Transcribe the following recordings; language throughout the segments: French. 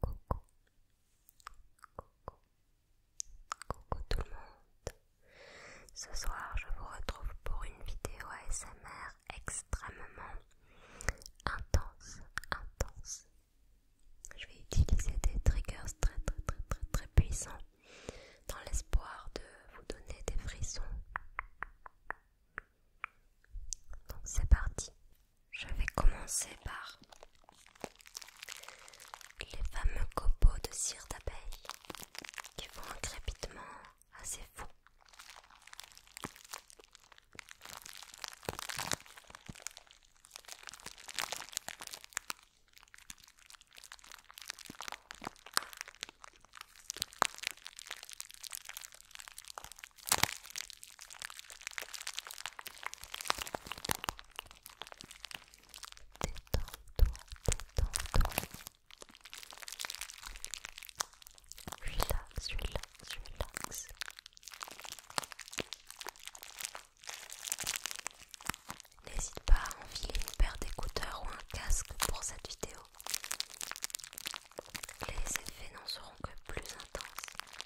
Coucou, coucou, coucou tout le monde. Ce soir, je vous retrouve pour une vidéo ASMR extrêmement intense, intense. Je vais utiliser des triggers très, très, très, très, très puissants dans l'espoir de vous donner des frissons. Donc c'est parti je vais commencer par les fameux copeaux de cire d'abeille qui font un crépitement assez fou. Relax, relax, relax. N'hésite pas à enfiler une paire d'écouteurs ou un casque pour cette vidéo. Les effets n'en seront que plus intenses.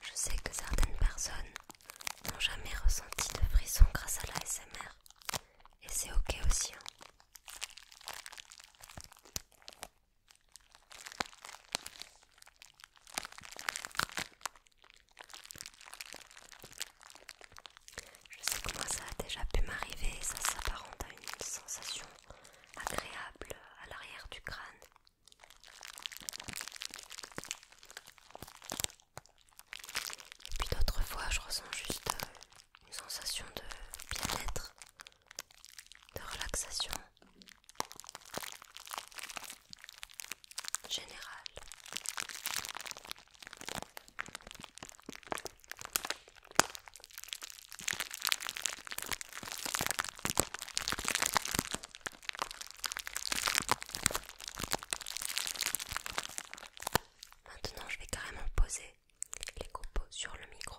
Je sais que certaines personnes n'ont jamais ressenti de frisson grâce à la Et c'est ok aussi. Hein. Je sais que moi ça a déjà pu m'arriver, ça s'apparente à une sensation agréable à l'arrière du crâne. Et puis d'autres fois je ressens juste euh, une sensation de bien-être, de relaxation générale. Maintenant, je vais carrément poser les copeaux sur le micro.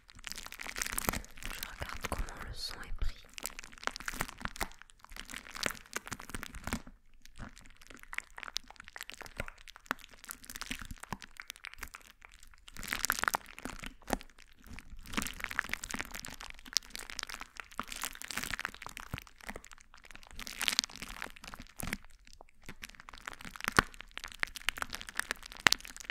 Je regarde comment le son est pris.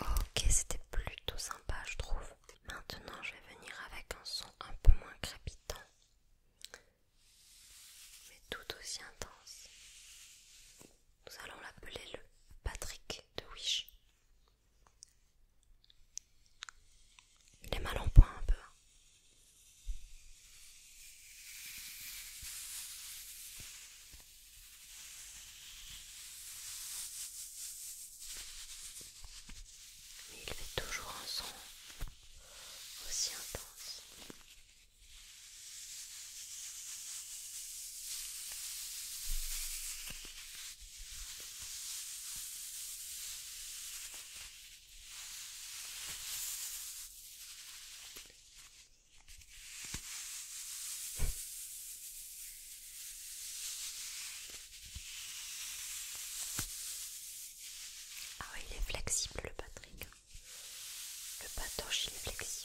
Ok, c'était plutôt sympa, je trouve. Maintenant, je vais venir avec un son un peu moins crépitant mais tout aussi intense. Nous allons l'appeler le Patrick de Wish. Il est mal en point un peu. Hein. Mais il fait toujours un son aussi intense. Ah oui, il est flexible le Patrick. Le patoche, il est flexible.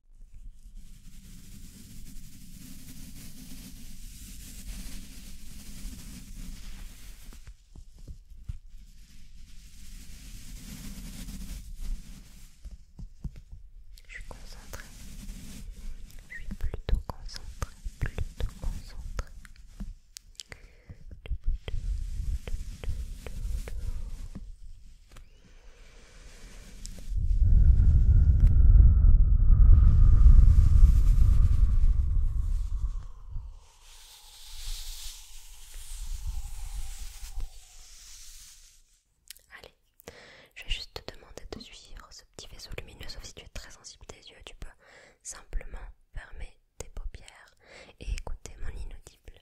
Je suis concentrée. Je suis plutôt concentrée, plutôt concentrée. Allez, je vais juste te demander de suivre ce petit vaisseau lumineux, sauf si tu es très sensible des yeux, tu peux simplement fermer tes paupières et écouter mon inaudible.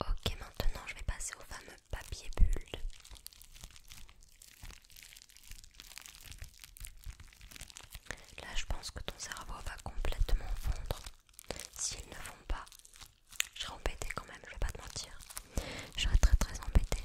Ok, maintenant je vais passer au fameux papier bulle. Là, je pense que ton cerveau va complètement fondre. S'ils ne vont pas, je serai embêtée quand même, je vais pas te mentir. Je serai très très embêtée.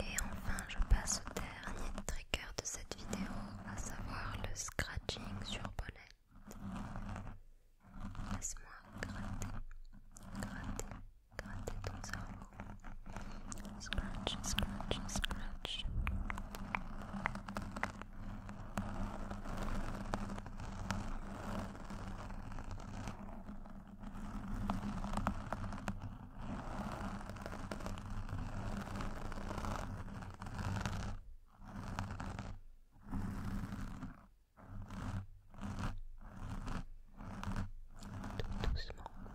Et enfin, je passe au dernier trigger de cette vidéo, à savoir le scratching sur Bonnette. Laisse-moi gratter, gratter, Got it all. Scratch, scratch, scratch. Scratch, Tout doucement,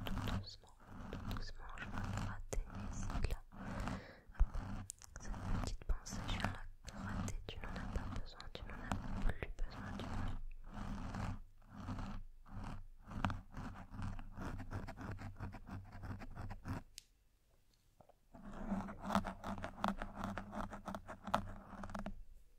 tout doucement, tout doucement, je vais gratter ici, là. Cette petite pensée, je viens la gratter. Tu n'en as pas besoin, tu n'en as plus besoin plus besoin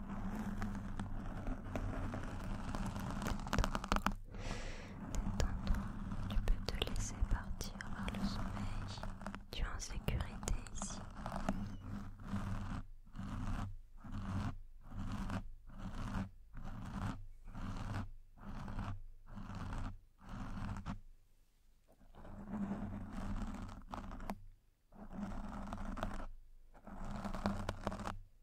Tu peux te laisser partir par le sommeil. Tu es en sécurité ici.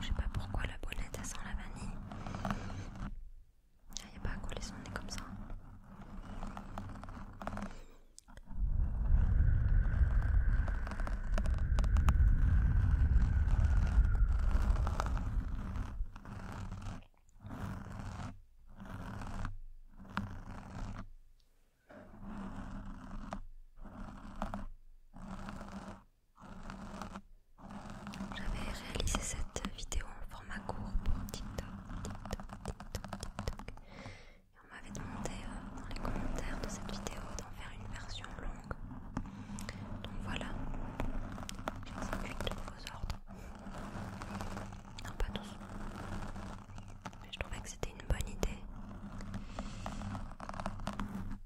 Je sais pas pourquoi la bonnette a sent la vanille. Il ah, n'y a pas à coller son nez comme ça. J'avais réalisé cette vidéo en format court pour TikTok, Et on m'avait demandé euh, dans les commentaires de cette vidéo d'en faire une version longue. Donc voilà, j'exécute vos ordres. Non, pas tous. Mais je trouvais que c'était une bonne idée.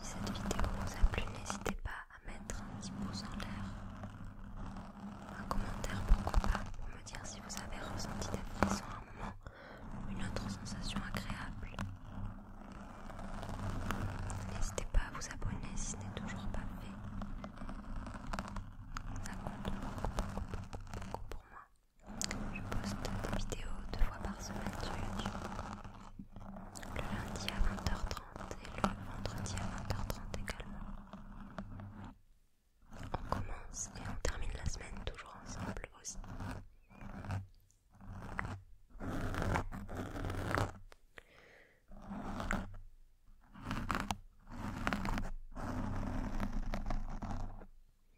Si cette vidéo vous a plu, n'hésitez pas à mettre un petit pouce en l'air, un commentaire pourquoi pas, pour me dire si vous avez ressenti d'être à un moment une autre sensation agréable. N'hésitez pas à vous abonner si ce n'est toujours pas fait. Ça compte beaucoup pour moi. Je poste des vidéos deux fois par semaine sur YouTube. Le lundi à 20h30 et le vendredi à 20h30 également. On commence et on termine la semaine toujours ensemble aussi.